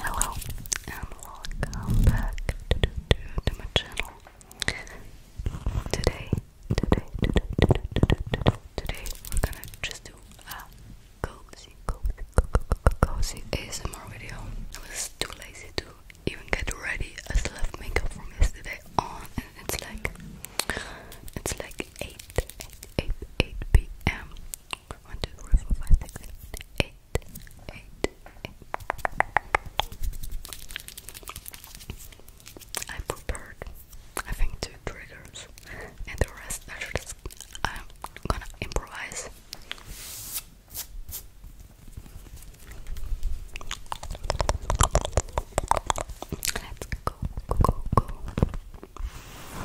Hello and welcome back to, to, to, to my channel. Today, today, today, today, today, today, today we're gonna just do a cozy, cozy, cozy, cozy ASMR video. I was too lazy to even get ready. I still have makeup from yesterday on, and it's like it's like 8, 8, 8, 8 p.m. One, two, three, four, five, six, seven, eight, eight, eight. I prepared, I think, two triggers, and the rest I should just, I'm gonna improvise. Let's go, go, go.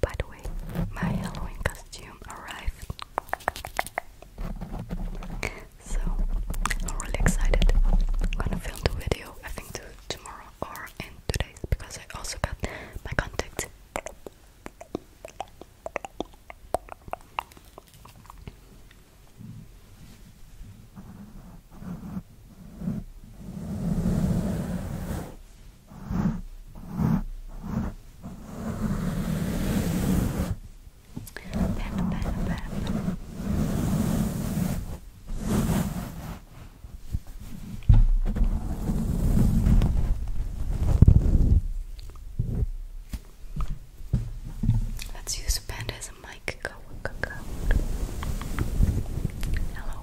By the way, my Halloween costume arrived. So I'm really excited. I'm gonna film the video I think tomorrow or in two days because I also got my contact. Let's use a pen as a mic. Go, go, go. Hello.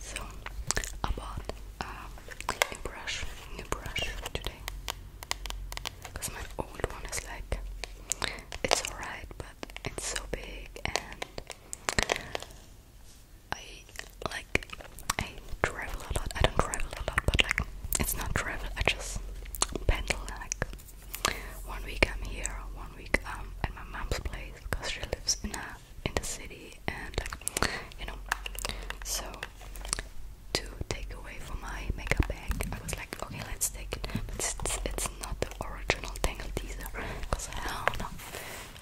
So about um, uh, a brush, new brush today, because my old one is like it's alright, but it's so big, and I like I travel a lot. I don't travel a lot, but like it's not travel. I just pedal like one week I'm here, one week at my mom's place because she lives in a in the city and you know. So to take away from my makeup bag, I was like, okay, let's take it, but it's, it's not the original Tangle teaser because hell no,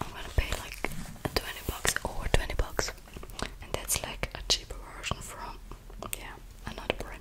I'm gonna pay like 20 bucks or 20 bucks, and that's like a cheaper version from yeah another brand.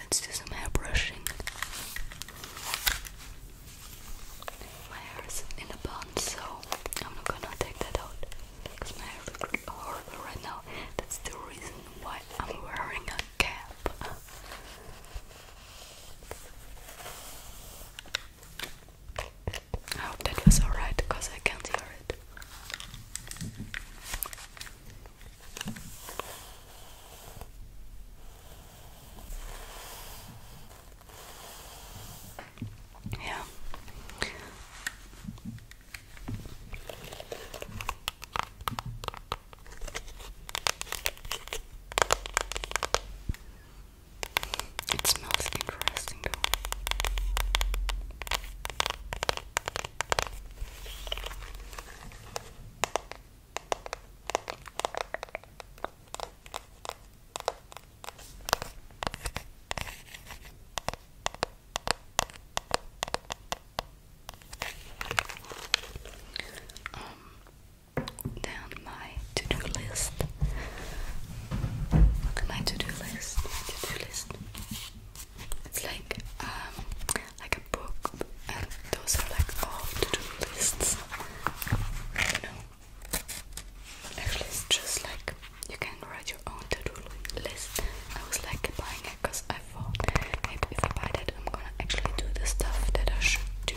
Let's do some hair brushing. My hair is in a bun, so I'm not gonna take that out because my hair looks horrible right now. That's the reason why I'm wearing a cap. I hope that was alright because I can't hear it. Yeah. It smells interesting though. Um, then my to-do list. My to-do list. to-do list. It's like um, like a book, those are like all to-do lists. You know, actually, it's just like you can write your own to-do list. I was like buying it because I thought maybe if I buy that, I'm gonna actually do the stuff that I should do.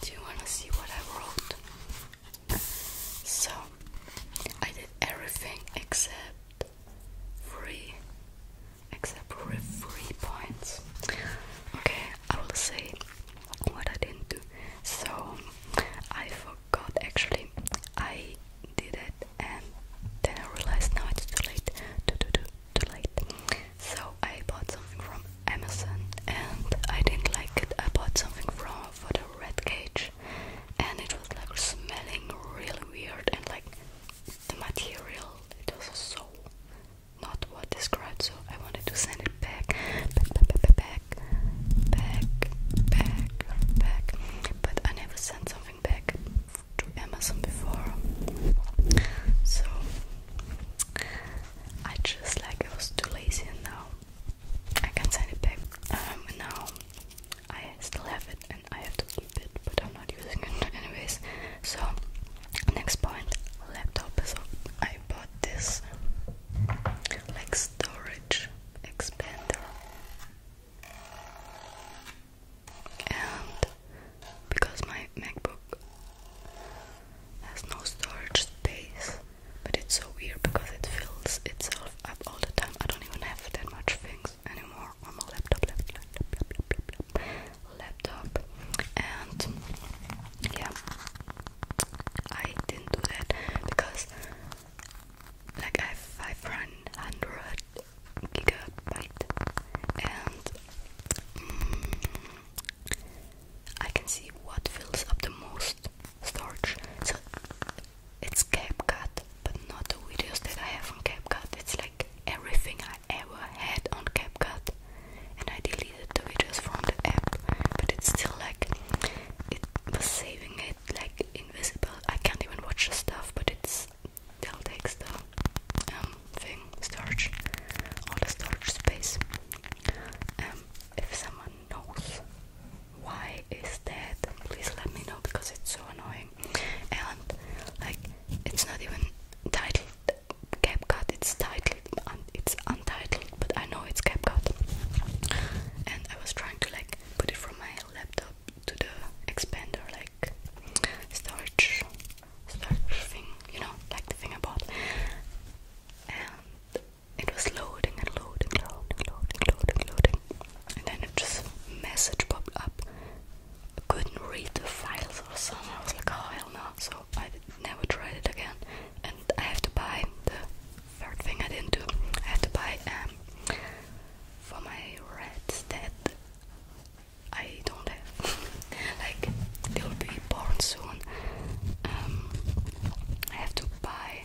Do you want to see what I wrote? So, I did everything except free, except three points. Okay, I will say what I didn't do. So, I God, actually. I did it and then I realized now it's too late. Too, too, too, too late. So I bought something from Amazon and I didn't like it. I bought something from for the red cage and it was like smelling really weird and like the material it was so not what described so I wanted to send it back back back back, back, back, back, back, But I never sent something back to Amazon before, so I just like I was too lazy, and now I can send it back. Um, now I still have it, and I have to keep it, but I'm not using it anyways. So next point, laptop. So I bought this like storage expander and because my MacBook has no storage space but it's so weird because it fills itself up all the time I don't even have that much things anymore on my laptop laptop laptop, laptop. and yeah I didn't do that because like I have 500 gigabyte and mm, I can see what fills up the most storage. So it's CapCut, but not the videos that I have on CapCut. It's like everything I ever had on CapCut, and I deleted the videos from the app, but it's still like it was saving it like invisible. I can't even watch the stuff, but it's they'll takes the um, thing storage, all the storage space. And um, if someone knows why is that, please let me know because it's so annoying. And like, it's not even titled CapCut. It's titled, un it's untitled, but I know it's CapCut. And I was trying to like put it from my laptop to the expander, like storage, storage thing, you know, like the thing I bought. And it was loading and loading, loading, loading, loading, And then it just message popped up. I couldn't read the files or something. I was like, oh hell no. So I never tried it again. And I have to buy the third thing I didn't do, I had to buy um for my rats that I don't have. like they will be born soon. Um, I have to buy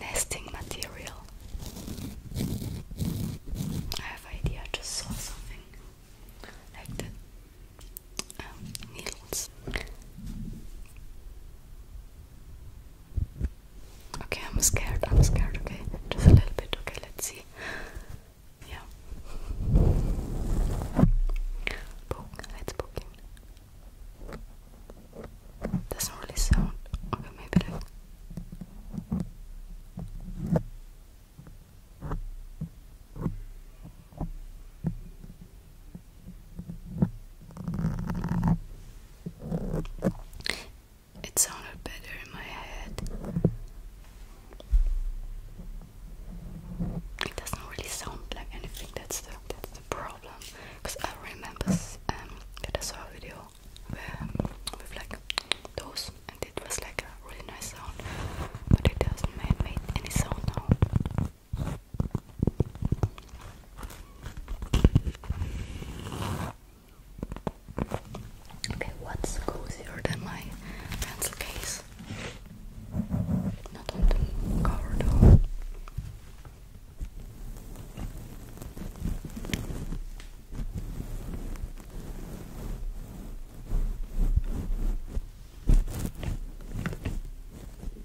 nesting material. I have idea. just saw something like the um, needles. Okay, I'm scared. I'm scared. Okay, just a little bit. Okay, let's see. Yeah. Let's poke in. Doesn't really sound. Okay, maybe like. It sounded better in my head. It doesn't really sound like anything. That's the that's the problem. Cause I remember um, that I saw a video with like those, and it was like a really nice sound, but it doesn't make any sound now. Okay, what's cozier than my pencil case? Not on the cover though.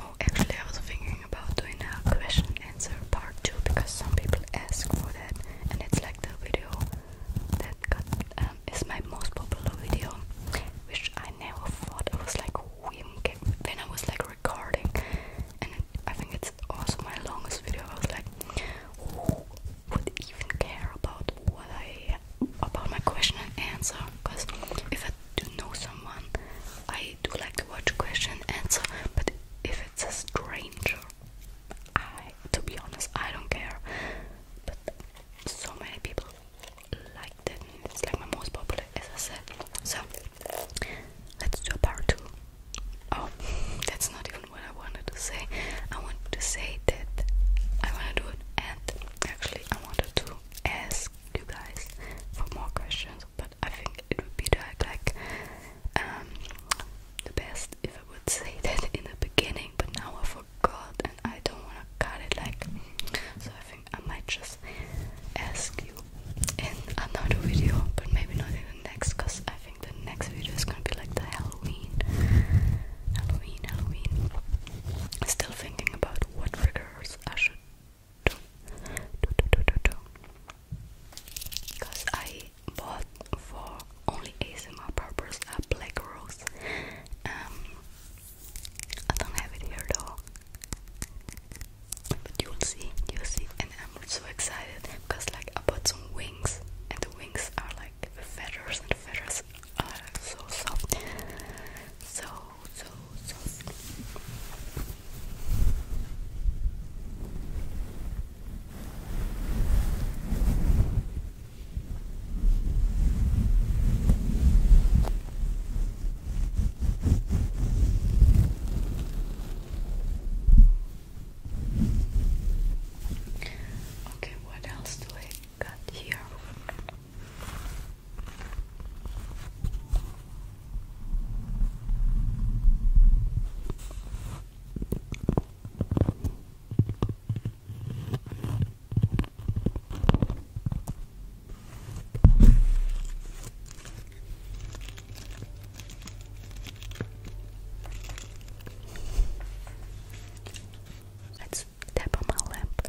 Oh, actually, I was thinking about doing a question answer part 2 because some people ask for that, and it's like the video that got, um, is my most popular video, which I never thought I was like when I was like recording, and I think it's also my longest video. I was like, who would even care about what I about my question and answer because if I do know someone, I do like to watch question and answer. But if it's a stranger, I to be honest, I don't care. But so many people like it. it's like my most popular, as I said. So let's do a part two. Oh, that's not even what I wanted to say. I want to say that I want to do an end actually I wanted to ask you guys for more questions, but I think it would be the, like um, the best if I would say that in the beginning, but now I forgot and I don't want to cut it like so I think I might just ask you in another video, but maybe not even next because I think the next video is gonna be like the Halloween Halloween, Halloween. Still thinking about what triggers I should do. Do, do, do, do, do. Because I bought for only ASMR purpose a black rose. Um, I don't have it here though. But you'll see, you'll see. And I'm so excited because like I bought some wings and the wings are like the feathers and the feathers are so soft, so so soft. Okay, what else do I got here. Let's tap on my lamp.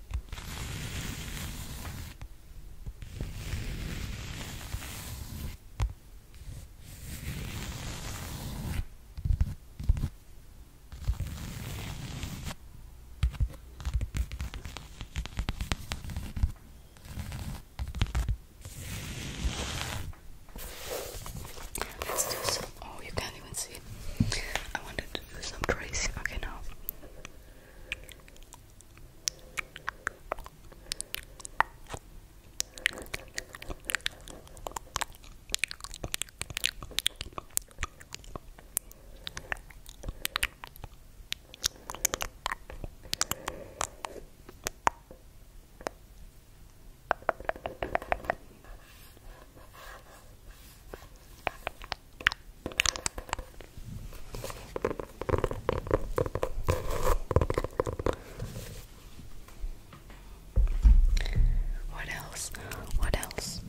Let's do some. Oh, you can't even see it. I wanted to do some tracing. Okay, now. What else? What else?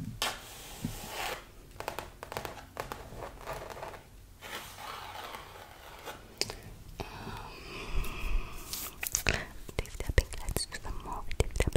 Um, Let's do some more tip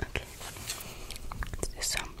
Okay, let's do some movements.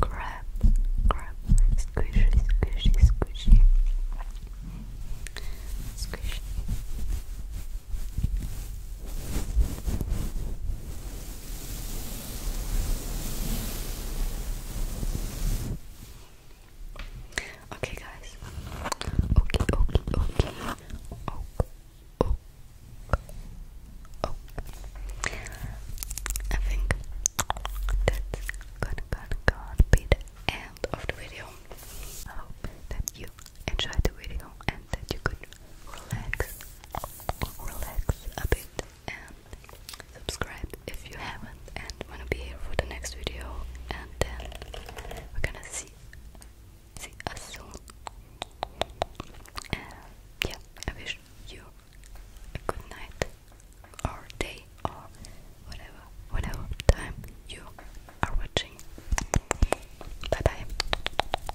Grab, grab, squishy, squishy, squishy, squishy. Okay, guys. Okay, okay, okay. Oh, oh, I think that's gonna be the end of the video. I hope that you enjoyed the video and that you could relax, relax a bit, and subscribe if you haven't, and wanna be here for the next video, and then we're gonna see, see us soon. And yeah, I wish you a good night, or day, or whatever, whatever time you are watching. Bye bye.